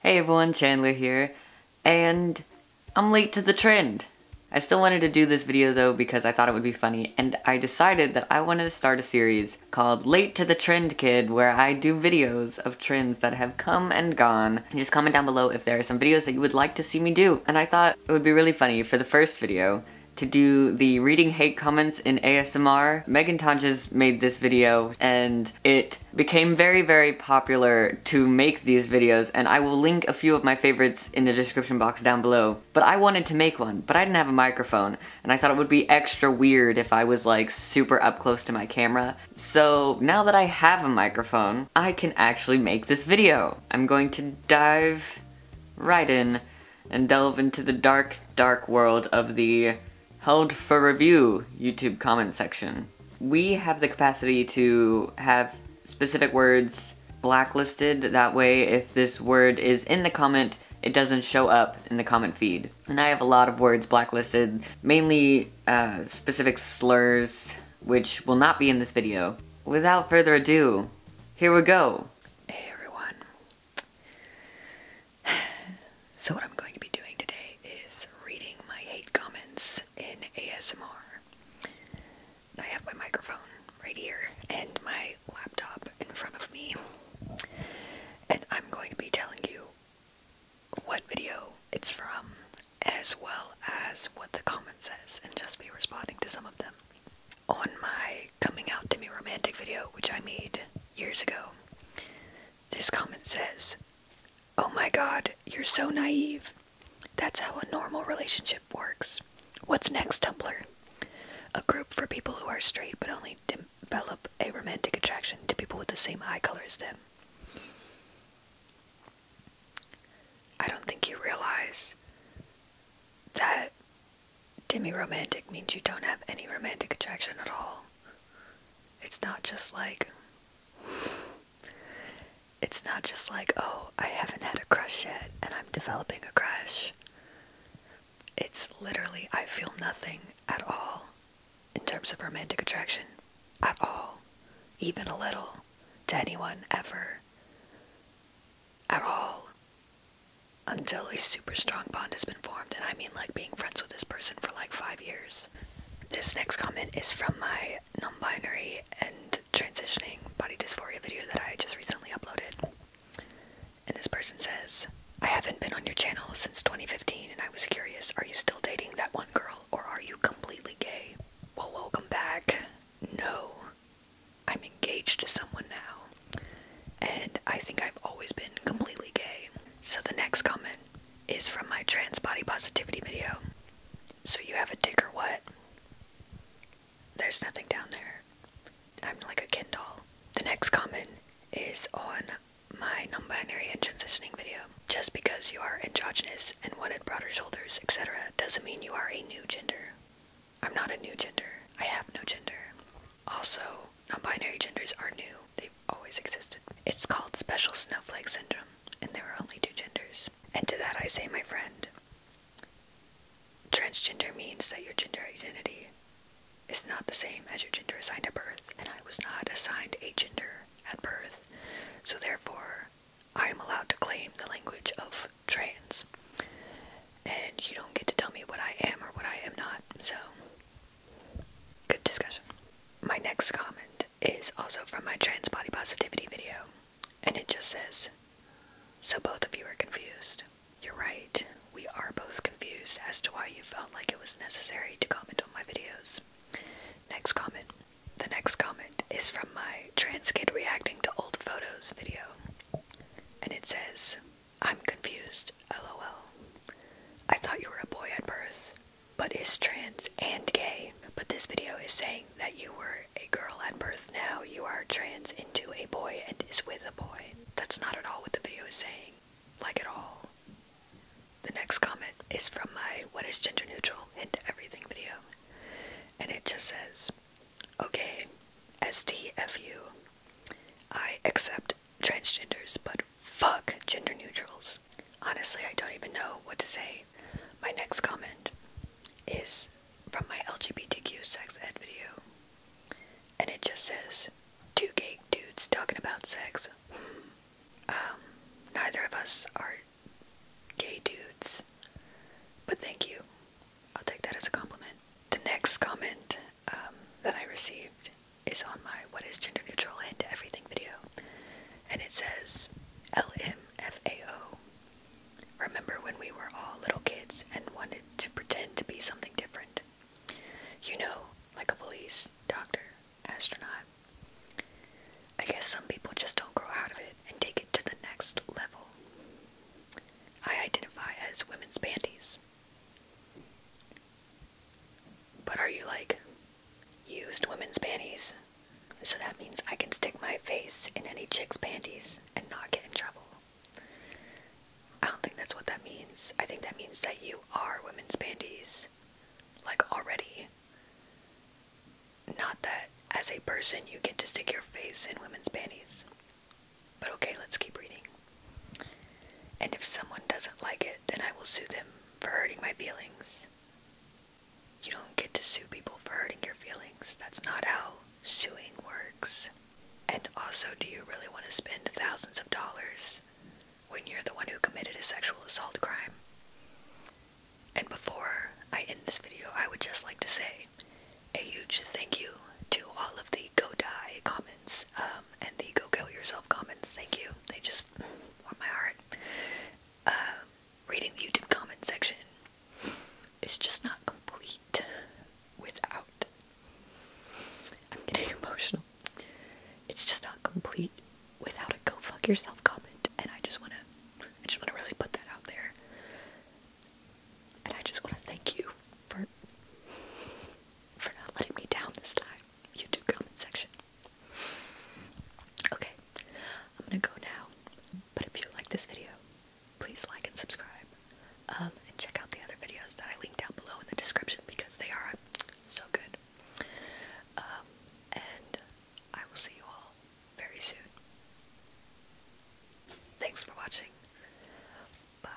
Hey everyone, Chandler here, and I'm late to the trend. I still wanted to do this video though because I thought it would be funny, and I decided that I wanted to start a series called Late to the Trend Kid where I do videos of trends that have come and gone. And just comment down below if there are some videos that you would like to see me do. And I thought it would be really funny for the first video to do the reading hate comments in ASMR. Megan Tonches made this video and it became very, very popular to make these videos, and I will link a few of my favorites in the description box down below. But I wanted to make one, but I didn't have a microphone, and I thought it would be extra weird if I was like super up close to my camera. So now that I have a microphone, I can actually make this video. I'm going to dive right in and delve into the dark, dark world of the held for review YouTube comment section. We have the capacity to have specific words blacklisted, that way if this word is in the comment, it doesn't show up in the comment feed. And I have a lot of words blacklisted, mainly uh, specific slurs, which will not be in this video. Without further ado, here we go. Hey everyone. So, what I'm going to be doing today is reading my hate comments in ASMR. I have my microphone right here and my laptop in front of me, and I'm going to be telling you what video it's from as well as what the comment says, and just be responding to some of them. On my coming out to me romantic video, which I made years ago, this comment says, Oh my god, you're so naive. That's how a normal relationship works. What's next, Tumblr? A group for people who are straight but only develop a romantic attraction to people with the same eye color as them. I don't think you realize that demi romantic means you don't have any romantic attraction at all. It's not just like it's not just like, oh, I haven't had a crush yet and I'm developing a crush. It's literally I feel nothing at all in terms of romantic attraction at all, even a little to anyone ever at all until a super strong bond has been formed, and I mean like being friends with this person for like five years. This next comment is from my non binary and transitioning body dysphoria video that I just recently uploaded. And this person says, I haven't been on your channel since 2015 and I was curious, are you still dating that one girl or are you completely gay? Well, welcome back. No, I'm engaged to someone now and I think I've always been completely gay. So the next comment is from my trans body positivity video. So you have a dick or what? There's nothing down there. I'm like a Ken doll. The next comment is on my non-binary and transitioning video. Just because you are androgynous and wanted broader shoulders, etc., doesn't mean you are a new gender. I'm not a new gender. I have no gender. Also, non-binary genders are new. They've always existed. It's called special snowflake syndrome, and there are only two genders. And to that I say, my friend, transgender means that your gender identity is not the same as your gender assigned at birth, and I was not assigned a gender at birth, so therefore I am allowed to claim the language of trans and you don't get to tell me what I am or what I am not. So, good discussion. My next comment is also from my trans body positivity video, and it just says, So both of you are confused. You're right, we are both confused as to why you felt like it was necessary to comment on my videos. Next comment. The next comment is from my trans kid reacting to old photos video, and it says, I'm confused, lol. I thought you were a boy at birth, but is trans and gay. But this video is saying that you were a girl at birth, now you are trans into a boy and is with a boy. That's not at all what the video is saying, like at all. The next comment is from my What is Gender Neutral and Everything video, and it just says, Okay, STFU. I accept transgenders, but fuck gender neutrals. Honestly, I don't even know what to say. My next comment is from my LGBTQ sex ed video. And it just says, two gay dudes talking about sex. Hmm. Um, neither of us are gay dudes. But thank you. I'll take that as a compliment. The next comment um, that I received is on my What is Gender Neutral and Everything video. And it says, LMFAO. Remember when we were all little kids and wanted to pretend to be something different? You know, like a police, doctor, astronaut. I guess some people just don't grow out of it and take it to the next level. I identify as women's panties. But are you like used women's panties? So that means I can stick my face in any chick's panties and not get in trouble. I don't think that's what that means. I think that means that you are women's panties. Like already. Not that as a person you get to stick your face in women's panties. But okay, let's keep reading. And if someone doesn't like it, then I will sue them for hurting my feelings. You don't get to sue people for hurting your feelings. That's not how suing works. And also, do you really want to spend thousands of dollars when you're the one who committed a sexual assault crime? And before I end this video, I would just like to say a huge thank you to all of the go die comments um, and the go kill yourself comments. Thank you. They just warm my heart. Um, reading the YouTube comment section is just not complete without. I'm getting emotional. It's just not complete without a go fuck yourself comment, and I just wanna, I just wanna really put that out there. And I just want to thank you for for not letting me down this time. You do comment section. Okay, I'm gonna go now. But if you like this video, please like and subscribe. Um, and check out the other videos that I link down below in the description because they are so good. Um, and I will see you all very soon. Thanks for watching. Bye.